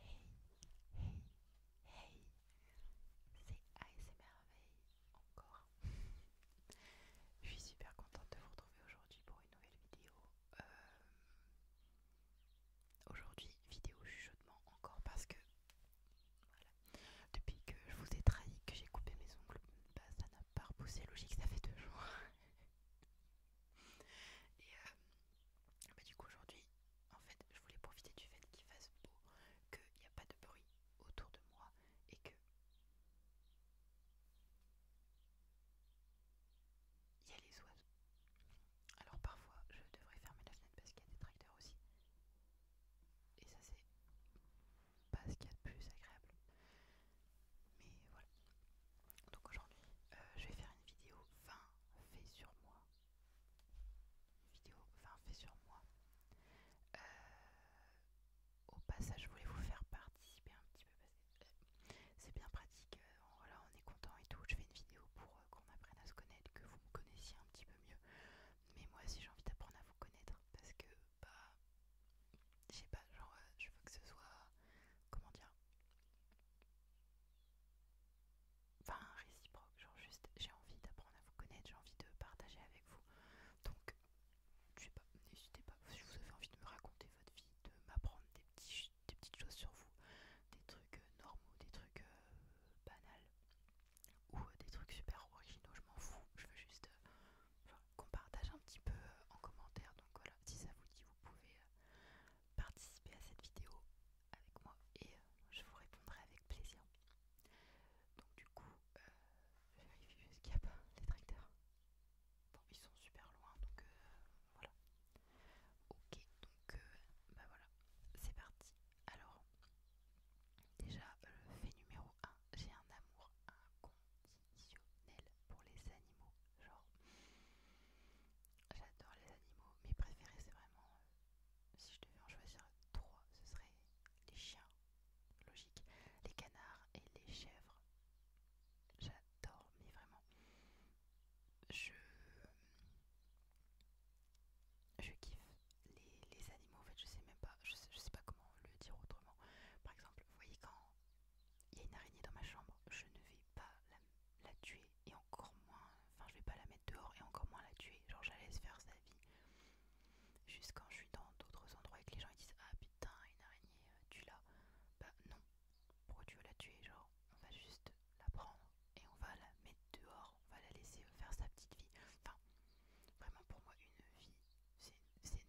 Hey, hey, hey, c'est merveille encore. Je suis super contente de vous retrouver aujourd'hui pour une nouvelle vidéo. Euh, aujourd'hui, vidéo chuchotement encore parce que voilà, depuis que je vous ai trahi, que j'ai coupé mes ongles, bah, ça n'a pas repoussé logique, ça fait deux jours. Et euh, bah, du coup aujourd'hui, en fait, je voulais profiter du fait qu'il fasse beau, qu'il n'y a pas de bruit autour de moi et que il y a les oiseaux. Alors parfois, je devrais fermer la fenêtre parce qu'il y a des tracteurs aussi. Et ça c'est pas ce qu'il y a de plus agréable. Mais voilà. Donc aujourd'hui, euh, je vais faire une vidéo 20 fait sur moi. vidéo fin fait sur moi. Euh, au passage, je voulais vous faire participer un petit peu parce que euh, c'est bien pratique. Voilà, on est content et tout. Je fais une vidéo pour qu'on apprenne à se connaître, que vous me connaissiez un petit peu mieux. Mais moi aussi, j'ai envie d'apprendre à vous connaître parce que, bah, je sais pas, genre, je veux que ce soit, comment dire, Enfin, réciproque, genre juste j'ai envie d'apprendre à vous connaître, j'ai envie de partager avec vous. Donc, je n'hésitez pas, si vous avez envie de me raconter votre vie, de m'apprendre des, petits, petites choses sur vous, des trucs euh, normaux, des trucs euh, banals, ou euh, des trucs super originaux, je m'en fous, je veux juste qu'on partage un petit peu en commentaire. Donc voilà, si ça vous dit, vous pouvez participer à cette vidéo avec moi et euh, je vous répondrai avec plaisir. Donc du coup, euh, je vérifie ce qu'il n'y a pas les tracteurs. Bon, ils sont super loin, donc euh, voilà. Ok, donc bah voilà, c'est parti. Alors, déjà, le fait numéro 1, j'ai un amour inconditionnel pour les animaux. Genre, J'adore les animaux. Mes préférés, c'est vraiment. Euh, si je devais en choisir trois, ce serait les chiens. Logique. Les canards et les chèvres. J'adore, mais vraiment. Je. Je kiffe les, animaux. En fait, je sais même pas. Je je sais pas comment le dire autrement. Par exemple, vous voyez quand il y a une araignée dans ma chambre, je ne vais pas la, tuer et encore moins, enfin je vais pas la mettre dehors et encore moins la tuer, genre je la laisse faire sa vie. Jusqu'à quand je suis dans d'autres endroits et que les gens disent Ah putain, une araignée, euh, tu la Bah non, pourquoi tu veux la tuer Genre, on va juste la prendre et on va la mettre dehors, on va la laisser faire sa petite vie. Enfin, vraiment pour moi, une vie, c'est une petite vie,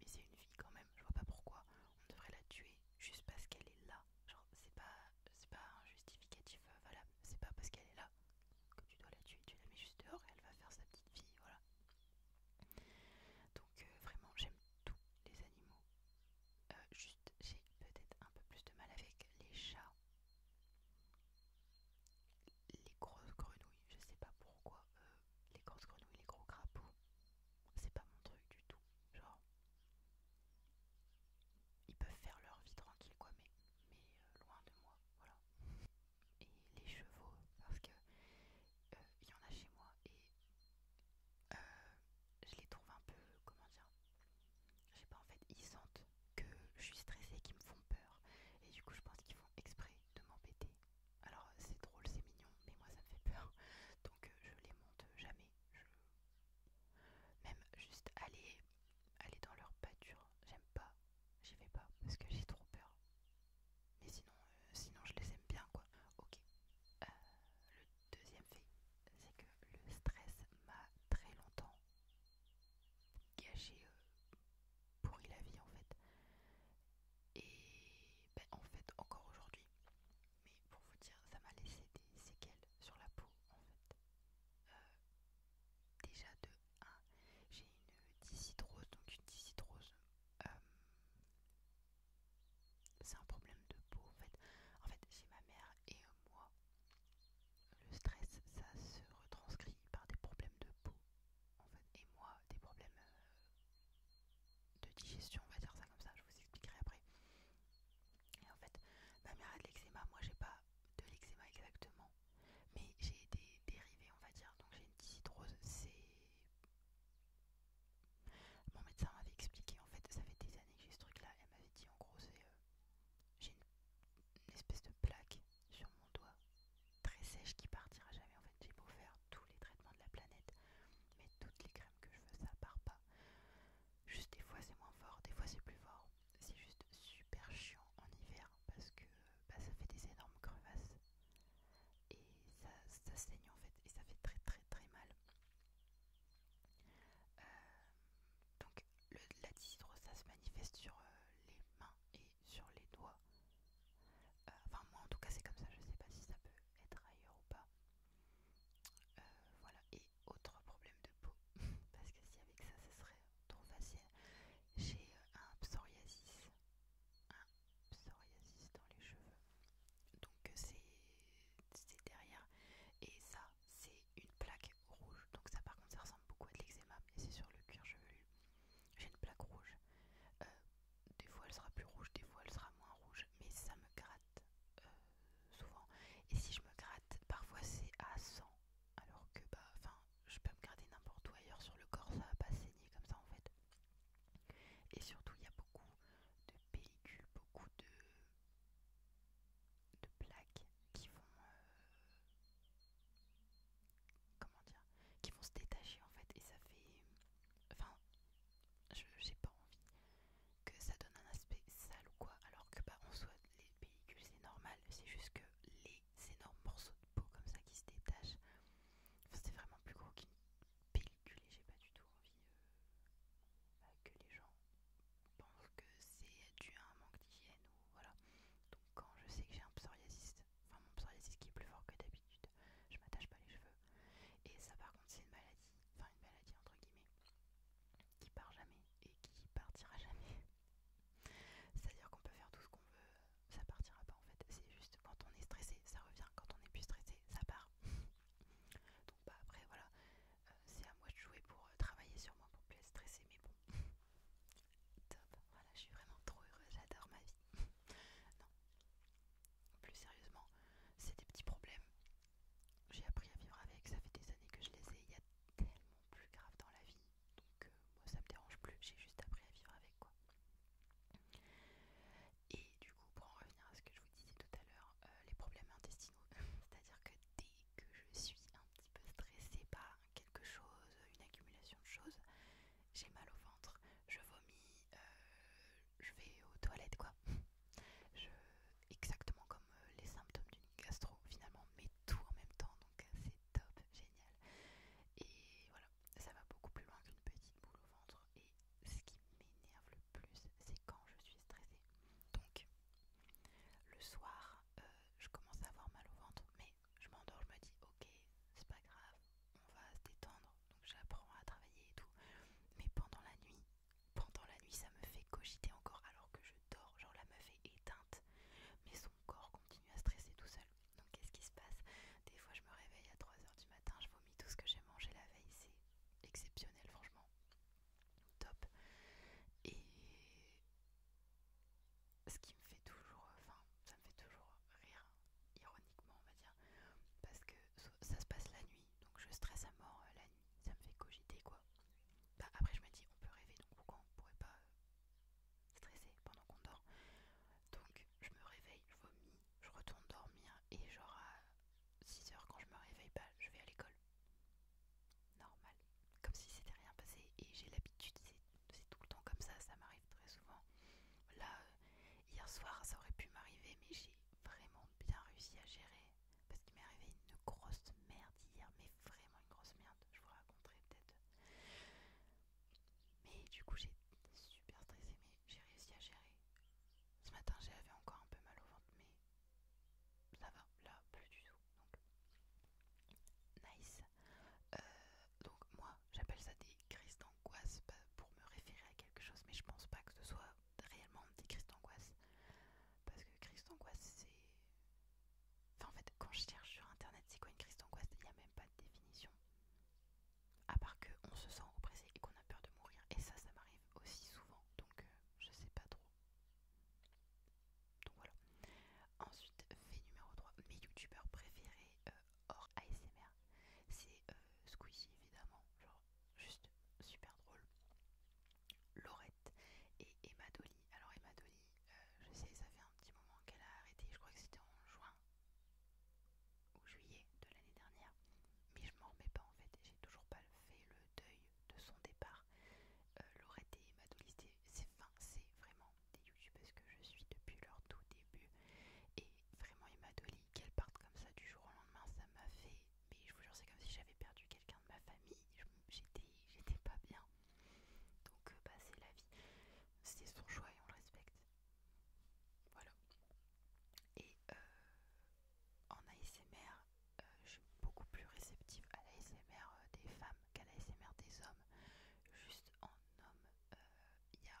mais c'est une vie quand même, je vois pas pourquoi on devrait la tuer juste parce qu'elle est là. Genre, c'est pas, pas un justificatif euh, valable. C'est pas parce qu'elle est là que tu dois la tuer. Tu la mets juste dehors et elle va faire sa petite vie. Voilà. Donc, euh, vraiment, j'aime tous les animaux. Euh, juste, j'ai peut-être un peu plus de mal avec les chats. Les grosses grenouilles, je sais pas pourquoi. les grosses grenouilles, les gros crapauds, c'est pas mon truc du tout. Genre, ils peuvent faire leur vie tranquille quoi, mais, euh, loin de moi, voilà. Et les chevaux, parce que euh, il y en a chez moi et euh, je les trouve un peu, comment dire, je sais pas en fait, ils sentent que je suis stressée, qu'ils me font peur et du coup je pense qu'ils font exprès de m'embêter. Alors c'est drôle, c'est mignon, mais moi ça me fait peur, donc je les monte jamais. Je même juste aller, aller dans leur pâture, j'aime pas, j'y vais pas parce que j'ai trop peur. Mais sinon, euh, sinon je les aime bien quoi. Ok. Euh, le deuxième fait, c'est que le stress m'a très longtemps gâché, euh, pourri la vie en fait. Et ben, en fait, encore aujourd'hui, mais pour vous dire, ça m'a laissé des séquelles sur la peau en fait. Euh, déjà de 1, j'ai une dyshydrose. donc une dyshydrose, euh, c'est un problème de peau en fait. En fait, chez ma mère et euh, moi, le stress ça se retranscrit par des problèmes de peau en fait, et moi des problèmes de digestion, on va dire ça comme ça, je vous expliquerai après. Et en fait, ma mère a de l'eczéma, moi j'ai pas de l'eczéma exactement, mais j'ai des dérivés, on va dire. Donc j'ai une petite c'est. Mon médecin m'avait expliqué, en fait, ça fait des années que j'ai ce truc-là, elle m'avait dit en gros, c'est. Euh, j'ai une, une espèce de plaque sur mon doigt très sèche qui partira jamais. En fait, j'ai beau faire tous les traitements de la planète, mais toutes les crèmes que je veux, ça part pas. Juste des fois c'est moins fort, des fois c'est plus fort. C'est juste super chiant en hiver parce que bah, ça fait des énormes crevasses et ça, saigne en fait et ça fait très très très mal. Euh, donc la dyshydrose ça se manifeste sur euh, les mains et sur les doigts. Euh, enfin moi en tout cas c'est comme ça, je sais pas si ça peut être ailleurs ou pas. Euh, voilà, et autre problème de peau, parce que si avec ça, ce serait trop facile. J'ai euh, un psoriasis, un psoriasis dans les cheveux, donc euh, c'est derrière, et ça, c'est une plaque rouge, donc ça par contre, ça ressemble beaucoup à de l'eczéma, et c'est sur le cuir chevelu. J'ai une plaque rouge, des fois elle sera plus rouge, des fois elle sera moins rouge, mais ça me gratte souvent. Et si je me gratte, parfois c'est à 100, alors que bah, enfin, je peux me gratter n'importe où ailleurs sur le corps, ça va pas saigner comme ça en fait. Et surtout, il y a beaucoup de pellicules, beaucoup de, de plaques qui vont, euh, comment dire, qui vont se détacher en fait, et ça fait, enfin, je j'ai pas envie que ça donne un aspect sale ou quoi, alors que bah en soit les pellicules c'est normal, c'est juste que les énormes morceaux de peau comme ça qui se détachent, enfin, c'est vraiment plus gros qu'une pellicule et j'ai pas du tout envie euh, bah, que les gens pensent que c'est dû à un manque d'hygiène ou voilà. Donc quand je sais que j'ai un psoriasis, enfin mon psoriasis qui est plus fort que d'habitude, je m'attache pas les cheveux et ça par contre c'est une maladie, enfin une maladie entre guillemets, qui part jamais et qui partira jamais. C'est-à-dire qu'on peut faire tout ce qu'on veut, ça partira pas en fait. C'est juste quand on est stressé, ça revient, quand on est plus stressé, ça part. Donc bah après voilà, euh, c'est à moi de jouer pour euh, travailler sur moi pour plus être stressé, mais bon. Top, voilà, je suis vraiment trop heureuse, j'adore ma vie. non. Plus sérieusement, c'est des petits problèmes j'ai appris à vivre avec, ça fait des années que je les ai, il y a tellement plus grave dans la vie, donc euh, moi ça me dérange plus, j'ai juste appris à vivre avec quoi. Et du coup, pour en revenir à ce que je vous disais tout à l'heure, euh, les problèmes intestinaux, c'est-à-dire que dès que je suis un petit peu stressée par quelque chose, une accumulation de choses, j'ai mal au ventre, je vomis, euh, je vais aux toilettes quoi. exactement comme euh, les symptômes d'une gastro finalement, mais tout en même temps, donc euh, c'est top, génial. Et voilà, ça va beaucoup plus loin qu'une petite boule au ventre. Et ce qui m'énerve le plus, c'est quand je suis stressée. Donc le soir, euh, je commence à avoir mal au ventre, mais je m'endors, je me dis ok, c'est pas grave, on va se détendre. Donc j'apprends à travailler et tout. Mais pendant la nuit, pendant la nuit ça me fait cogiter encore alors que je dors, genre la meuf est éteinte, mais son corps continue à stresser tout seul. Donc qu'est-ce qui se passe Des fois je me réveille à 3h du matin, je vomis tout ce que j'ai mangé la veille, c'est exceptionnel franchement. Top. Et ce qui me fait toujours, enfin ça me fait toujours rire, ironiquement on va dire, parce que ça se passe la nuit, donc je stresse à mort euh, la nuit, ça me fait cogiter quoi. Bah, après je me dis on peut rêver, donc pourquoi on pourrait pas euh, stresser pendant qu'on dort Donc je me réveille, je vomis, je retourne dormir et genre à 6h quand je me réveille, pas bah, je vais à l'école. Normal, comme si c'était rien passé et j'ai l'habitude, c'est tout le temps comme ça, ça m'arrive très souvent. Là, euh, hier soir ça aurait pu m'arriver mais j'ai vraiment bien réussi à gérer parce qu'il m'est arrivé une grosse merde hier, mais vraiment une grosse merde, je vous raconterai peut-être. Mais du coup j'ai super stressée, mais j'ai réussi à gérer. Ce matin j'avais encore un peu mal au ventre, mais ça va, là plus du tout. Donc nice. Euh, donc moi j'appelle ça des crises d'angoisse bah, pour me référer à quelque chose, mais je pense pas que ce soit réellement des dit d'angoisse. Parce que crise d'angoisse, c'est. Enfin, en fait, quand je cherche sur internet c'est quoi une crise d'angoisse, il n'y a même pas de définition. À part qu'on se sent oppressé et qu'on a peur de mourir. Et ça, ça m'arrive aussi souvent. Donc, euh, je sais pas trop. Donc voilà. Ensuite, fait numéro 3, mes youtubeurs préférés euh, hors ASMR, c'est euh, Squeezie évidemment juste super drôle. Laurette et Emma Alors Emma euh, je sais, ça fait un petit moment qu'elle a arrêté, je crois que c'était en juin ou juillet de l'année dernière, mais je m'en remets pas en fait, j'ai toujours pas fait le deuil de son départ. Euh, Laurette et Emma Dolly, c'est c'est vraiment des youtubeuses que je suis depuis leur tout début. Et vraiment Emma Dolly, qu'elle parte comme ça du jour au lendemain, ça m'a fait mais je vous jure, c'est comme si j'avais perdu quelqu'un de ma famille. J'étais pas bien. Donc, euh, bah, c'est la vie. C'est son choix et on le respecte. Voilà. Et euh, en ASMR, euh, je suis beaucoup plus réceptive à l'ASMR des femmes qu'à l'ASMR des hommes. Juste en homme, il y a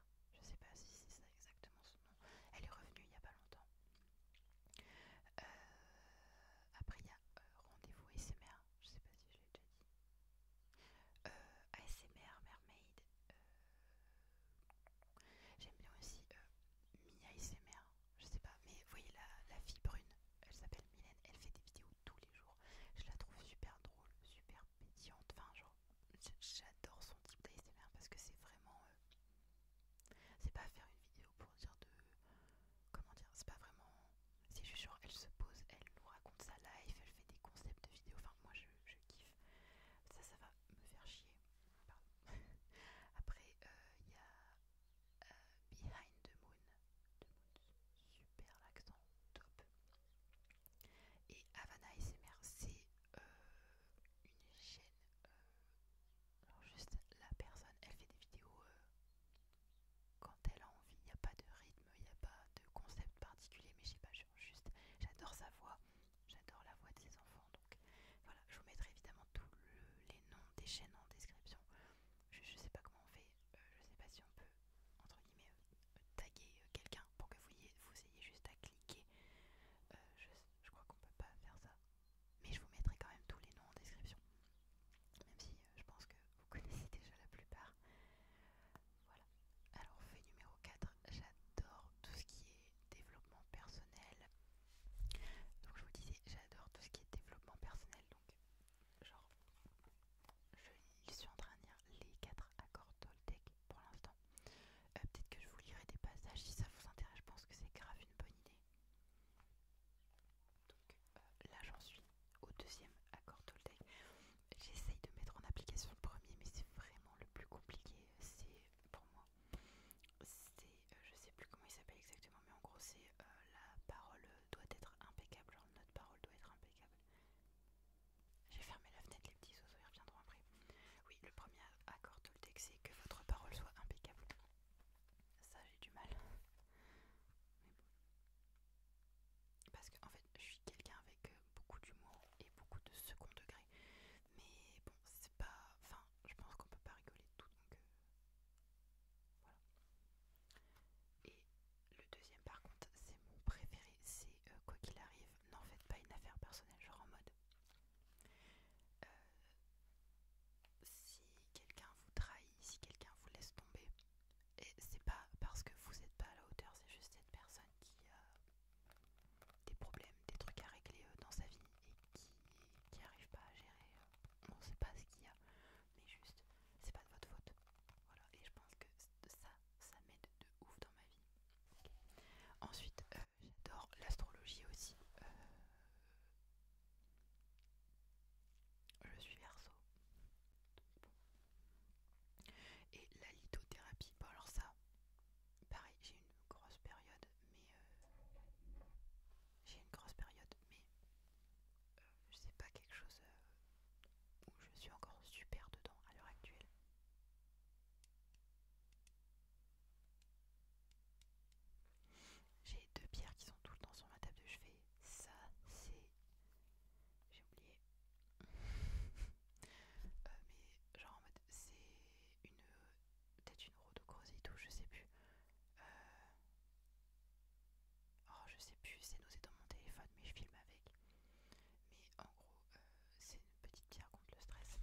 je sais pas si c'est ça exactement son nom, elle est revenue il n'y a pas longtemps. Euh, après il y a euh, rendez-vous ASMR, je sais pas si je l'ai déjà dit. Euh, ASMR Mermaid. J'aime bien aussi Mia ASMR, je sais pas, mais vous voyez la, la fille brune, elle s'appelle Mylène, elle fait des vidéos tous les jours. Je la trouve super drôle, super médiante, Enfin, genre, j'adore son type d'ASMR parce que c'est vraiment. Euh, c'est pas faire une vidéo pour dire de. Comment dire C'est pas vraiment. C'est juste genre, elle se pose, elle nous raconte sa life, elle fait des concepts de vidéos. Enfin, moi, je, kiffe. Ça, ça va me faire chier. Pardon. Après, euh, il y a euh, Behind the Moon. The Moon. Super l'accent, top. Et Havana SMR, c'est euh, une chaîne. Euh, alors, juste la personne, elle fait des vidéos euh, quand elle a envie. Il n'y a pas de rythme, il n'y a pas de concept particulier, mais je sais pas, juste j'adore sa voix, j'adore la voix de ses enfants. Donc voilà, je vous mettrai évidemment tous les noms des chaînes en description. Je, ne sais pas comment on fait, je sais pas si on peut, entre guillemets, taguer euh, quelqu'un pour que vous ayez, vous juste à cliquer. Euh, je, crois qu'on peut pas faire ça, mais je vous mettrai quand même tous les noms en description, même si euh, je pense que vous connaissez déjà la plupart. Voilà. Alors fait numéro 4, j'adore tout ce qui est développement personnel. Donc je vous disais, j'adore tout ce qui est développement personnel. Donc genre, je suis en train de lire les 4 accords Toltec pour l'instant. Euh, peut-être que je vous lirai des passages si ça vous intéresse. Je pense que c'est grave une bonne idée. Donc euh, là, j'en suis au deuxième accord Toltec. J'essaye de mettre en application le premier, mais c'est vraiment le plus compliqué. C'est pour moi, c'est euh, je sais plus comment il s'appelle exactement, mais en gros, c'est la parole doit être impeccable. Genre, notre parole doit être impeccable. J'ai fermé la fenêtre, les petits oiseaux ils reviendront après. Oui, le premier accord de texte c'est que votre parole soit impeccable. Ça, j'ai du mal. Mais bon. Parce qu'en en fait, je suis quelqu'un avec euh, beaucoup d'humour et beaucoup de second degré. Mais bon, c'est pas. Enfin, je pense qu'on peut pas rigoler de tout donc. Euh, voilà. Et le deuxième par contre c'est mon préféré, c'est euh, quoi qu'il arrive, n'en faites pas une affaire personnelle, genre en mode euh, si quelqu'un vous trahit, si quelqu'un vous laisse tomber, et c'est pas parce que vous n'êtes pas à la hauteur, c'est juste cette personne qui a des problèmes, des trucs à régler euh, dans sa vie et qui n'arrive pas à gérer, on sait pas ce qu'il y a, mais juste c'est pas de votre faute. Voilà, et je pense que ça ça m'aide de ouf dans ma vie. Ensuite, euh, j'adore l'astrologie aussi. Euh, je suis verso. Et la lithothérapie, bon alors ça, pareil, j'ai une grosse période, mais euh, j'ai une grosse période, mais euh, sais pas quelque chose où je suis encore super dedans à l'heure actuelle. J'ai deux pierres qui sont tout le temps sur ma table de chevet. Ça, c'est. J'ai oublié. Euh, mais genre en mode. C'est une. Peut-être une et ou je sais plus. Euh, oh, je sais plus, c'est dans mon téléphone, mais je filme avec. Mais en gros, euh, c'est une petite pierre contre le stress.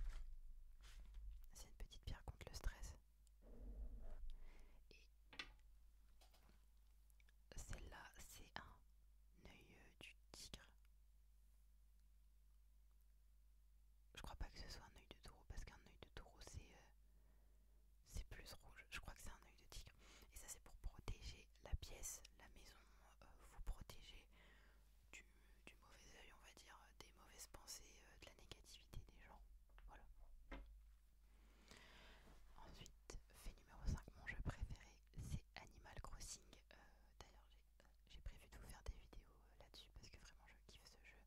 C'est une petite pierre contre le stress. Et celle-là, c'est un œil euh, du tigre. Je crois pas que ce soit un œil de taureau parce qu'un œil de taureau euh, c'est plus rouge. Je crois que c'est un œil de tigre. Et ça c'est pour protéger la pièce, la maison, euh, vous protéger du, mauvais œil, on va dire, euh, des mauvaises pensées, euh, de la négativité des gens. Voilà. Ensuite, fait numéro 5, mon jeu préféré, c'est Animal Crossing. D'ailleurs, j'ai prévu de vous faire des vidéos là-dessus parce que vraiment je kiffe ce jeu.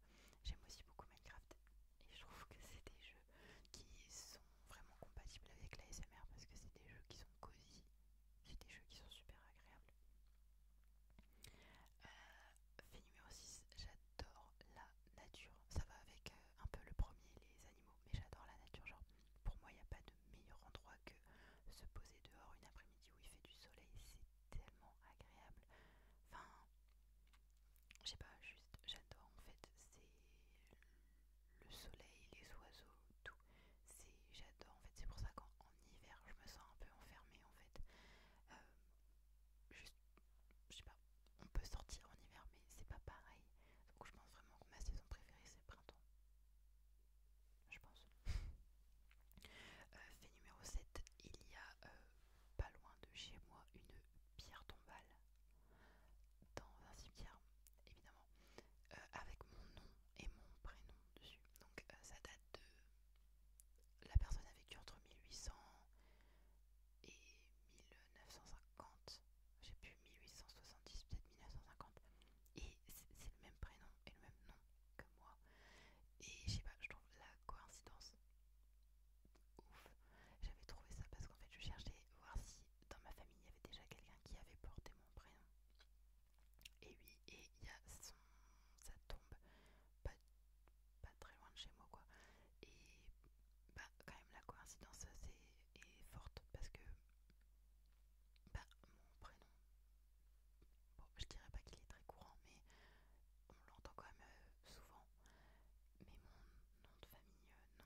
J'aime aussi beaucoup Minecraft et je trouve que c'est des jeux qui sont vraiment compatibles avec la S.M.R parce que c'est des jeux qui sont cosy c'est des jeux qui sont super agréables. Euh, fait numéro 6, j'adore la nature. Ça va avec euh, un peu le premier, les animaux, mais j'adore la nature. Genre, pour moi, il n'y a pas de meilleur endroit que se poser dehors une après-midi où il fait du soleil. C'est tellement agréable. Enfin, je sais pas, juste j'adore en fait. C'est le soleil, les oiseaux, tout. C'est, j'adore. En fait, c'est pour ça qu'en hiver, je me sens un peu enfermée. En fait, euh, juste, je sais pas. On peut sortir en hiver, mais c'est pas pareil. Donc, je pense vraiment que ma saison préférée, c'est printemps. Je pense. Euh, fait numéro 7, il y a euh, pas loin de chez moi une pierre tombale dans un cimetière, évidemment. Euh, avec mon nom et mon prénom dessus. Donc euh, ça date de... La personne a vécu entre 1800 et 1950. J'ai plus 1870, peut-être 1950. Et c'est le même prénom et le même nom que moi. Et je sais pas, je trouve la coïncidence ouf. J'avais trouvé ça parce qu'en fait je cherchais voir si dans ma famille, il y avait déjà quelqu'un qui avait porté mon prénom. Et oui, et il y a son, sa tombe pas, pas très loin de chez moi, quoi. Et bah, quand même, la coïncidence est, forte parce que bah, mon prénom, bon, je dirais pas qu'il est très courant, mais on l'entend quand même euh, souvent. Mais mon nom de famille, euh, non.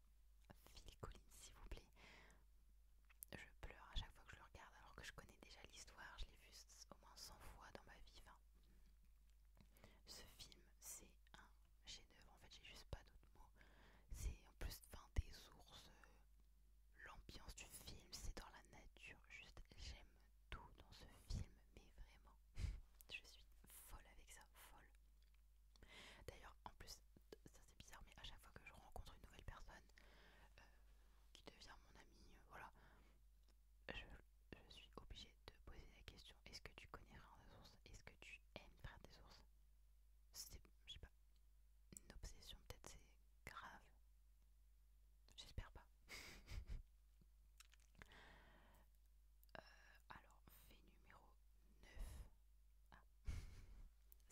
Phil Collins, s'il vous plaît. Je pleure à chaque fois que je le regarde, alors que je connais déjà l'histoire, je l'ai vu au moins 100 fois dans ma vie. ce film, c'est un chef-d'œuvre. En fait, j'ai juste pas d'autres mots. C'est en plus enfin, des sources, euh, l'ambiance du film, c'est dans la nature. Juste, j'aime tout dans ce film, mais vraiment, je suis folle avec ça, folle. D'ailleurs, en plus, ça c'est bizarre, mais à chaque fois que je rencontre une nouvelle personne euh, qui devient mon ami, euh, voilà, je, suis obligée de poser la question est-ce que tu connais rien des Sources Est-ce que tu aimes faire des Sources C'est, je sais pas, une obsession, peut-être c'est grave. J'espère pas. Euh, alors, fait numéro 9.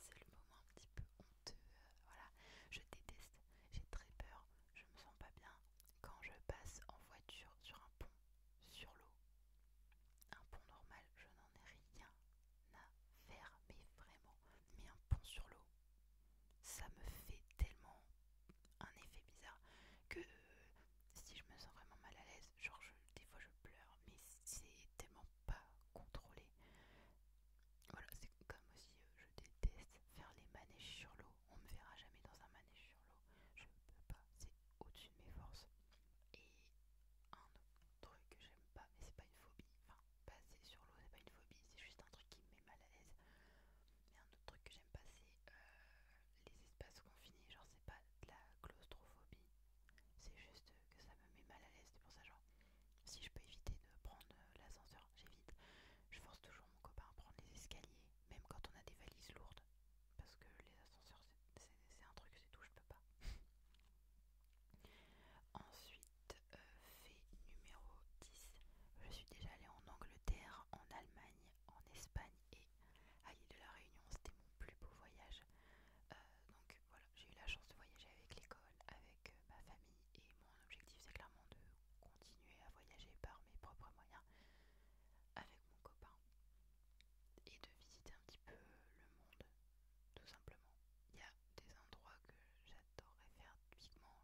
c'est le moment un petit peu honteux. Euh, voilà, je déteste, j'ai très peur, je me sens pas bien quand je passe en voiture sur un pont, sur l'eau. Un pont normal, je n'en ai rien à faire, mais vraiment. Mais un pont sur l'eau, ça me fait tellement un effet bizarre que si je me sens vraiment mal à l'aise, genre des fois je pleure, mais c'est tellement pas contrôler. Voilà, c'est comme aussi euh, je déteste faire les manèges sur l'eau. On me verra jamais dans un manège sur l'eau. Je peux pas, c'est au-dessus de mes forces. Et un autre truc que j'aime pas, mais c'est pas une phobie. Enfin, passer sur l'eau, c'est pas une phobie, c'est juste un truc qui me met mal à l'aise. Et un autre truc que j'aime pas, c'est euh, les espaces confinés. Genre, c'est pas de la claustrophobie, c'est juste que ça me met mal à l'aise. C'est pour ça, genre, si je peux éviter de prendre euh, l'ascenseur, j'évite. Je force toujours mon copain à prendre les escaliers, même quand on a des valises lourdes. Parce que les ascenseurs, c'est un truc, c'est tout, je peux pas. Ensuite, euh, fait numéro 10. Je suis déjà allée en Angleterre, en Allemagne, en Espagne et à ah, de la Réunion. C'était mon plus beau voyage. Euh, donc voilà, j'ai eu la chance de voyager avec l'école, avec euh, ma famille et mon objectif c'est clairement de continuer à voyager par mes propres moyens avec mon copain et de visiter un petit peu le monde tout simplement. Il y a des endroits que j'adorerais faire typiquement.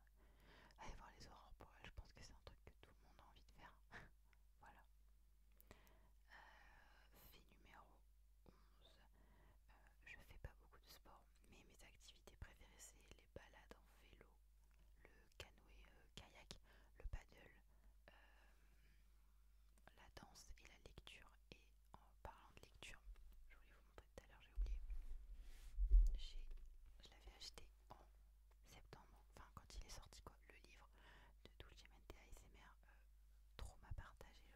Aller voir les aurores boréales, je pense que c'est un truc que tout le monde a envie de faire. voilà. Euh, fait numéro 11. Euh, je fais pas beaucoup de sport, mais mes activités préférées c'est les balades en vélo, le canoë euh, kayak, le paddle, la danse et la lecture. Et en parlant de lecture, je voulais vous montrer tout à l'heure, j'ai oublié. Je l'avais acheté en septembre, enfin quand il est sorti quoi, le livre de Dulce Mente ASMR trop m'a partagé.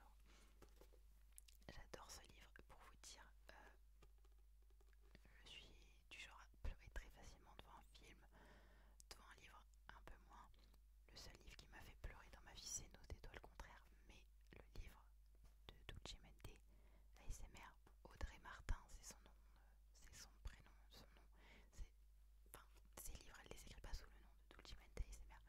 j'adore ce livre pour vous dire. Euh, je suis du genre à pleurer très facilement devant un film, devant un livre un peu moins. Le seul livre qui m'a fait pleurer dans ma vie, c'est Nos le contraire mais le livre de Dulce Mente, l'ASMR, Audrey Martin, c'est son nom, euh, c'est son prénom, son nom. Enfin, ces livres, elle les écrit pas sous le nom il ASMR,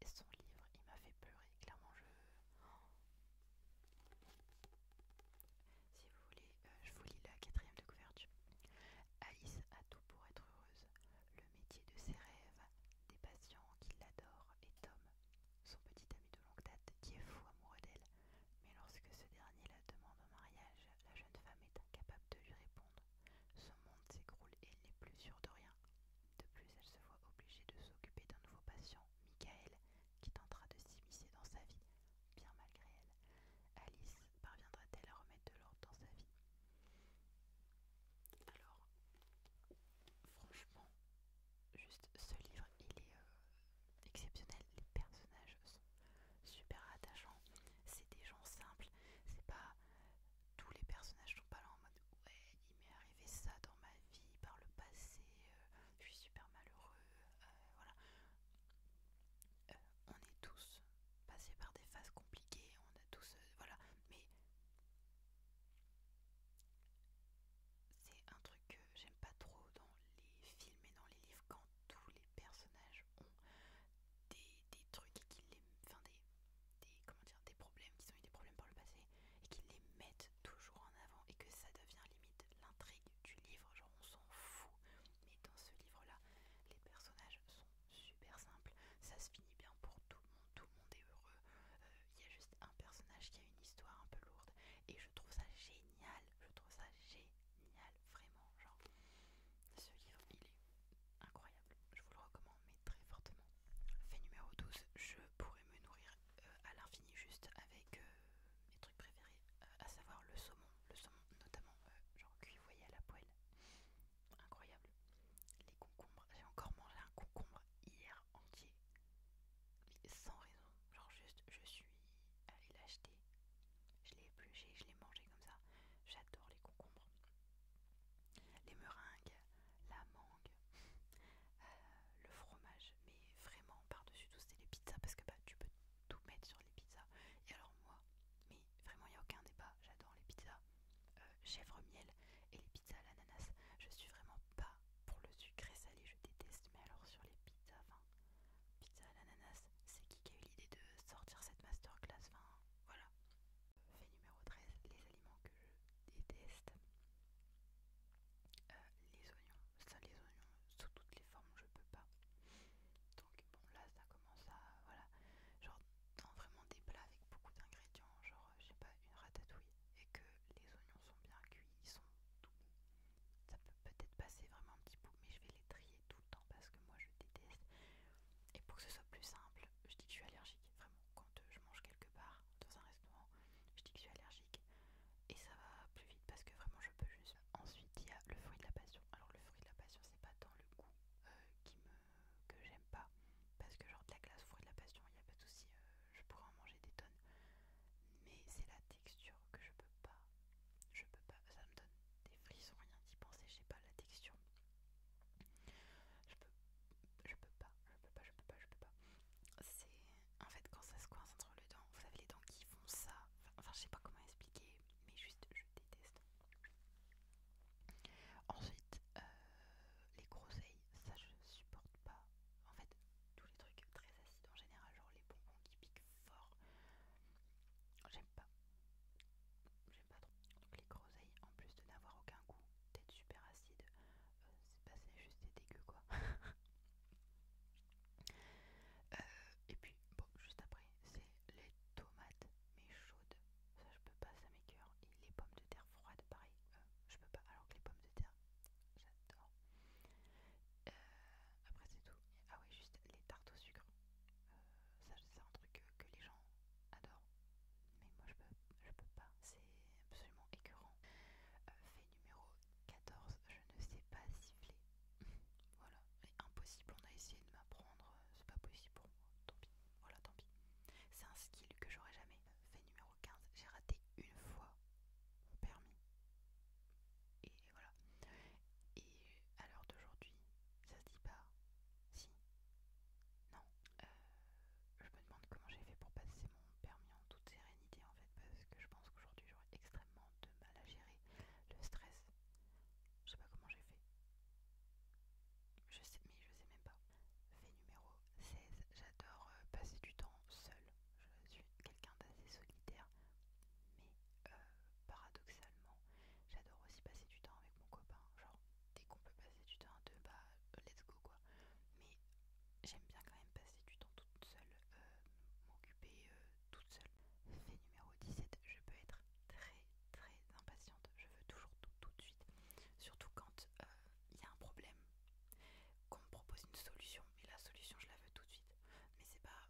mais son livre, il m'a fait pleurer. Clairement, je. Si vous voulez, euh, je vous lis la quatrième de couverture. Alice a tout pour être heureuse. Le métier de ses rêves, des patients qui l'adorent et Tom, son petit ami de longue date, qui est fou amoureux d'elle. Mais lorsque ce dernier la demande en mariage, la jeune femme est incapable de lui répondre ce monde s'écroule et elle n'est plus sûre de rien. De plus, elle se voit obligée de s'occuper d'un nouveau patient, Michael, qui tentera de s'immiscer dans sa vie, bien malgré elle. Alice parviendra-t-elle à remettre de l'ordre dans sa vie Alors, franchement, juste ce livre, il est euh, exceptionnel. Les personnages sont super attachants. C'est des gens simples. C'est pas tous les personnages sont pas là en mode ouais il m'est arrivé ça dans ma vie par le passé euh, je suis super malheureux euh, voilà euh, on est tous passés par des phases compliquées on a tous voilà mais c'est un truc que j'aime pas trop dans les films et dans les livres quand tous les personnages ont des des, trucs qui les. des, comment dire, des problèmes, qui ont eu des problèmes par le passé, et qu'ils les mettent toujours en avant, et que ça devient limite l'intrigue du livre, genre on s'en fout. Mais dans ce livre-là, les personnages sont super simples, ça se finit bien pour tout le monde, tout le monde est heureux. Euh, il y a juste un personnage qui a une histoire un peu lourde, et je trouve ça génial, je trouve ça génial, vraiment. Genre, ce livre, il est incroyable, je vous le recommande mais très fortement. Fait numéro 12, je pourrais me nourrir euh, à l'infini juste avec euh, mes trucs préférés, euh, à savoir le saumon, le saumon notamment genre cuit vous à la poêle, incroyable. Les concombres, j'ai encore mangé un concombre hier entier, sans raison, genre juste je suis allée l'acheter, je l'ai épluché, je l'ai mangé comme ça, j'adore les concombres les meringues, la mangue, euh, le fromage, mais vraiment par-dessus tout c'était les pizzas parce que bah tu peux tout mettre sur les pizzas. Et alors moi, mais vraiment il n'y a aucun débat, j'adore les pizzas euh, chèvre miel et les pizzas à l'ananas. Je suis vraiment pas pour le sucré salé, je déteste, mais alors sur les pizzas, pizza à l'ananas, c'est qui qui a eu l'idée de sortir cette masterclass, voilà. Fait numéro 13, les aliments que je déteste. Euh, les oignons, ça les oignons sous toutes les formes je peux pas. Donc bon là ça commence à voilà, genre dans vraiment des plats avec beaucoup d'ingrédients, genre euh, je sais pas une ratatouille et que les oignons sont bien cuits, ils sont doux Ça peut peut-être passer vraiment un petit bout, mais je vais les trier tout le temps parce que moi je déteste. Et pour que ce soit plus simple, je dis que je suis allergique, vraiment, quand euh, je mange quelque part dans un restaurant, je dis que je suis allergique et ça va plus vite parce que vraiment je peux juste. Ensuite, il y a le fruit de la passion. Alors, le fruit de la passion, c'est pas dans le goût euh, qui que j'aime pas parce que, genre, de la glace, fruit de la passion, il n'y a pas de souci, euh, je pourrais en manger des tonnes, mais c'est la texture que je peux pas. Je peux pas, ça me donne des frissons, rien d'y penser, j'ai pas la texture. Je peux, je peux pas, je peux pas, je peux pas, je peux pas. C'est en fait quand ça se coince entre les dents, vous savez les dents qui font ça. Enfin, je sais pas comment expliquer, mais juste je déteste. Ensuite, euh, les groseilles, ça je supporte pas. En fait, tous les trucs très acides en général, genre les bonbons qui piquent fort, j'aime pas. Donc les groseilles, en plus de n'avoir aucun goût, d'être super acide, euh, pas c'est passé juste des dégueu quoi. Euh, et puis, bon, juste après, c'est les tomates, mais chaudes. Ça, je peux pas, ça m'écœure. Et les pommes de terre froides, pareil, euh, je peux pas. Alors que les pommes de terre, j'adore. après, c'est tout. Ah, oui, juste les tartes au sucre. ça, c'est un truc que les gens adorent. Mais moi je peux, je peux pas, c'est absolument écœurant. Euh, fait numéro 14, je ne sais pas siffler. voilà, c'est impossible, on a essayé de m'apprendre, euh, c'est pas possible pour moi, tant pis, voilà, tant pis. C'est un skill que j'aurais jamais. Euh, fait numéro 15, j'ai raté une fois mon permis. Et voilà. Et à l'heure d'aujourd'hui, ça se dit pas, si. Non. Euh, je me demande comment j'ai fait pour passer mon permis en toute sérénité en fait, parce que je pense qu'aujourd'hui j'aurais extrêmement de mal à gérer le stress. Je sais pas comment j'ai fait. Je sais, mais je sais même pas. Fait numéro 16. J'adore euh, passer du temps seul. Je suis quelqu'un d'assez solitaire, mais euh, paradoxalement, j'adore aussi passer du temps avec mon copain. Genre, dès qu'on peut passer du temps à deux, bah let's go quoi. Mais j'aime bien quand même passer du temps toute seule, euh, m'occuper euh, toute seule. Fait numéro 17, je peux être très très impatiente, je veux toujours tout tout de suite. Surtout quand il euh, y a un problème, qu'on me propose une solution, mais la solution je la veux tout de suite. Mais c'est pas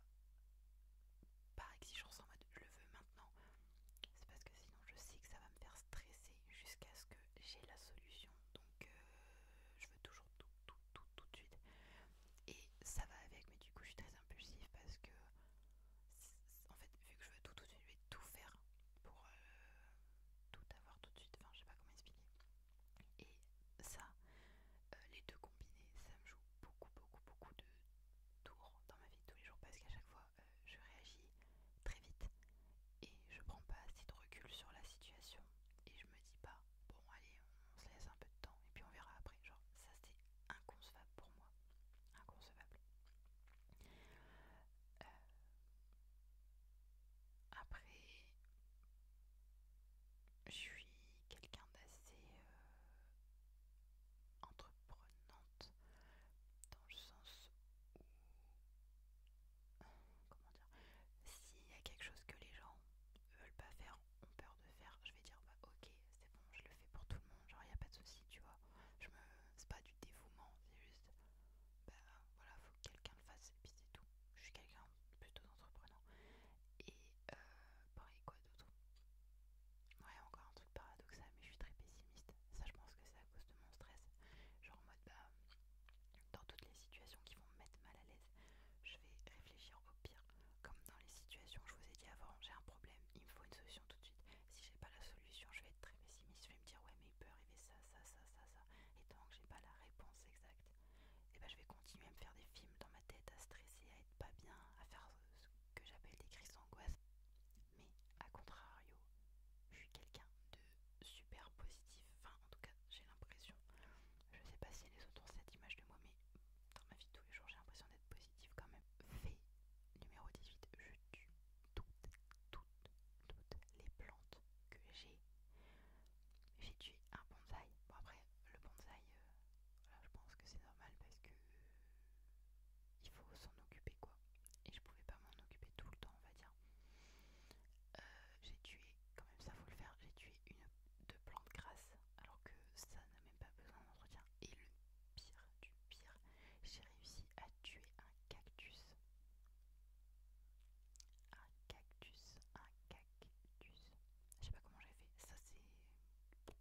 par exigence en mode je le veux maintenant, c'est parce que sinon je sais que ça va me faire stresser jusqu'à ce que j'ai la solution. Donc euh, je veux toujours tout, tout, tout, tout de suite. Et ça va avec, mais du coup je suis très impulsive parce que, en fait, vu que je veux tout, tout de suite, je vais tout faire pour euh, tout avoir tout de suite. Enfin, je sais pas comment expliquer. Et ça, euh, les deux combinés, ça me joue beaucoup, beaucoup, beaucoup de tours dans ma vie tous les jours parce qu'à chaque fois, euh, je réagis très vite et je prends pas assez de recul sur la situation et je me dis pas bon allez on se laisse un peu de temps et puis on verra après genre ça c'est inconcevable pour moi inconcevable euh, après je suis quelqu'un d'assez euh, entreprenant dans le sens où comment dire s'il y a quelque chose que les gens veulent pas faire ont peur de faire je vais dire bah ok c'est bon je le fais pour tout le monde genre y a pas de souci tu vois je me c'est pas du dévouement c'est juste bah voilà faut que quelqu'un le fasse et puis c'est tout je suis quelqu'un plutôt d'entrepreneur, et euh, pareil quoi d'autre Ouais, encore un truc paradoxal, mais je suis très pessimiste. Ça, je pense que c'est à cause de mon stress. Genre en mode, bah, dans toutes les situations qui vont me mettre mal à l'aise, je vais réfléchir au pire. Comme dans les situations, je vous ai dit avant, j'ai un problème, il me faut une solution tout de suite. Si j'ai pas la solution, je vais être très pessimiste. Je vais me dire, ouais, mais il peut arriver ça, ça, ça, ça, ça. Et tant que j'ai pas la réponse exacte, et eh bah, ben, je vais continuer à me faire des films dans ma tête, à stresser, à être pas bien, à faire ce que j'appelle des crises d'angoisse. Mais à contrario, je suis quelqu'un de super positif. Enfin, en tout cas, j'ai l'impression. Je sais pas si les autres ont cette image de moi, mais dans ma vie de tous les jours, j'ai l'impression d'être positive quand même. Fait numéro 18, je tue toutes, toutes, toutes les plantes que j'ai. J'ai tué un bonsaï. Bon, après, le bonsaï, euh, je pense que c'est normal parce que il faut s'en occuper quoi. Et je pouvais pas m'en occuper tout le temps, on va dire. Euh, j'ai tué, quand même ça faut le faire, j'ai tué une deux plantes grasses alors que ça n'a même pas besoin d'entretien. Et le pire du pire, j'ai réussi à tuer un cactus. Un cactus, un cactus. Je sais pas comment j'ai fait. Ça c'est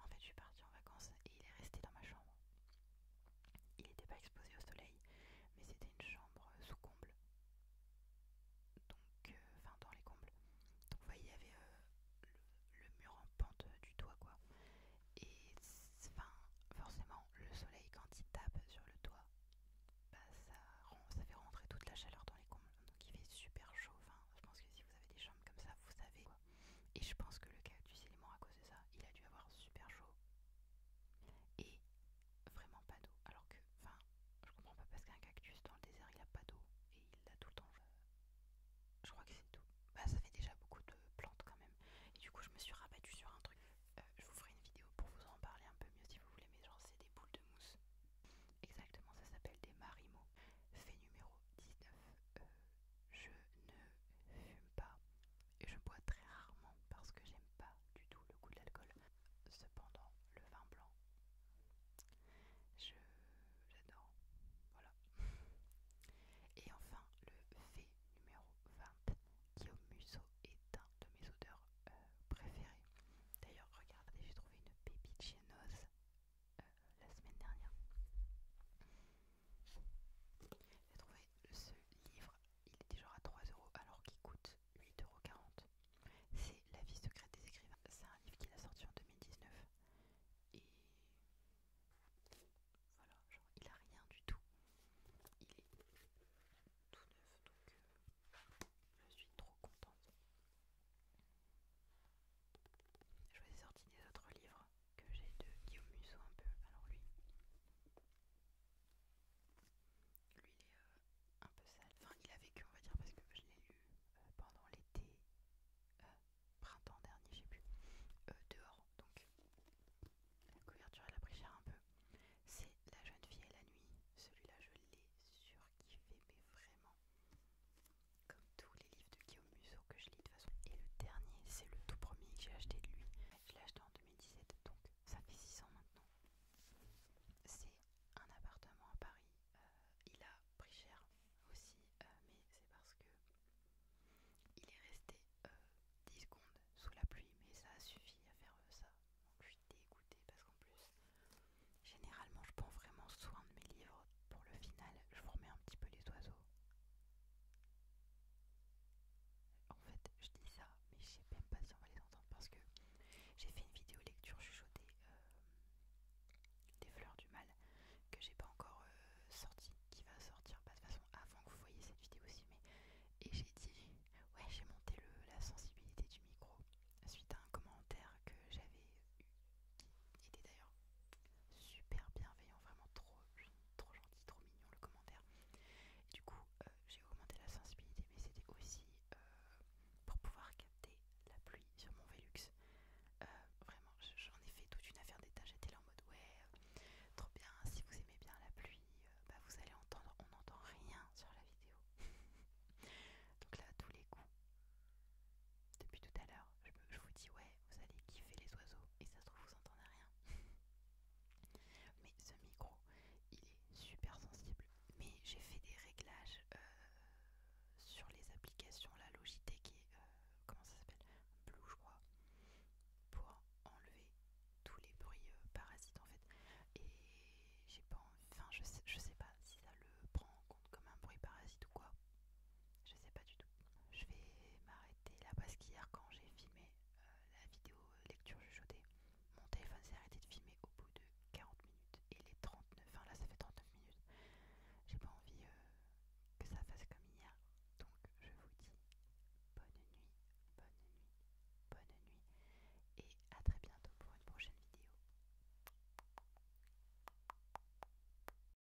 en fait, je suis partie en vacances et il est resté dans ma chambre. Il n'était pas exposé au soleil, mais c'était une chambre sous comble. Donc, euh, enfin, dans les combles. Donc, vous voyez, il y avait euh, le, mur en pente du toit, quoi. Et, enfin, forcément, le soleil, quand il tape sur le toit, bah, ça, ça fait rentrer toute la chaleur dans les combles. Donc, il fait super chaud. Enfin, je pense que si vous avez des chambres comme ça, vous savez et je pense que le cactus il est mort à cause de ça. Il a dû avoir super chaud. Et vraiment pas d'eau. Alors que, enfin, je comprends pas parce qu'un cactus dans le désert il a pas d'eau. Et il l'a tout le temps. Euh, je crois que c'est tout. Bah ça fait déjà beaucoup de plantes quand même. Et du coup je me suis rabattue sur un truc. Euh, je vous ferai une vidéo pour vous en parler un peu mieux si vous voulez. Mais genre c'est des boules de mousse. Exactement, ça s'appelle des marimo. Fait numéro 19 je ne fume pas et je bois très rarement parce que j'aime pas du tout le goût de l'alcool. Cependant, le vin blanc, je j'adore. Voilà. Et enfin, le fait numéro 20, qui au museau est un de mes odeurs euh, préférées. D'ailleurs, regardez, j'ai trouvé une baby chez euh, la semaine dernière. J'ai trouvé ce livre, il était genre à 3€ alors qu'il coûte 8,40€. C'est La vie secrète des écrivains. C'est un livre qu'il a sorti en 2019. Et voilà, genre il a rien du tout. Il est tout neuf donc euh, je suis trop contente. Je vous ai sorti des autres livres que j'ai de Guillaume Musso un peu. Alors lui, lui il est euh, un peu sale. Enfin, il a vécu, on va dire, parce que je l'ai eu euh, pendant l'été, euh, printemps dernier, je sais plus, dehors. Donc la couverture, elle a pris cher un peu. C'est La jeune fille et la nuit. Celui-là, je l'ai surkiffé, mais vraiment comme tous les livres de Guillaume Musso que je lis de toute façon. Et le dernier, c'est le tout premier que j'ai acheté de lui. Je l'ai acheté en 2017, donc ça fait 6 ans maintenant. C'est un appartement à Paris. Euh, il a pris cher aussi, euh, mais c'est parce que il est resté 10 euh, secondes sous la pluie, mais ça a suffi à faire ça. Donc je suis dégoûtée parce qu'en plus, généralement, je prends vraiment soin de mes livres. Pour le final, je vous remets un petit peu les oiseaux en fait, je dis ça, mais je sais même pas si on va les entendre parce que j'ai fait une vidéo lecture chuchotée euh, des fleurs du mal que j'ai pas encore euh, sorti, qui va sortir pas bah, de toute façon avant que vous voyez cette vidéo aussi. Mais et j'ai dit, ouais, j'ai monté la sensibilité du micro suite à un commentaire que j'avais eu qui était d'ailleurs super bienveillant, vraiment trop, trop gentil, trop mignon le commentaire. du coup, euh, j'ai augmenté la sensibilité, mais c'était aussi euh, pour pouvoir capter la pluie sur mon Velux. Euh, vraiment, j'en ai fait toute une affaire d'état. J'étais là en mode ouais, trop bien. Si vous aimez bien la pluie, bah vous allez entendre, on n'entend rien sur la vidéo. Donc là, à tous les coups, depuis tout à l'heure, je, vous dis ouais, vous allez kiffer les oiseaux et ça se trouve vous entendez rien. mais ce micro, il est super sensible. Mais j'ai fait des réglages euh, sur les applications, la Logitech et euh, comment ça s'appelle Blue, je crois, pour enlever tous les bruits euh, parasites en fait. Et pas enfin je je sais pas si ça le prend en compte comme un bruit parasite ou quoi. Je sais pas du tout. Je vais m'arrêter là parce qu'hier, quand j'ai filmé euh, la vidéo euh, lecture chuchotée, mon téléphone s'est arrêté de filmer au bout de 40 minutes. Et les 39, enfin là ça fait 39 minutes. J'ai pas envie euh, que ça fasse comme hier. Donc je vous dis bonne nuit, bonne nuit, bonne nuit. Et à très bientôt pour une prochaine vidéo.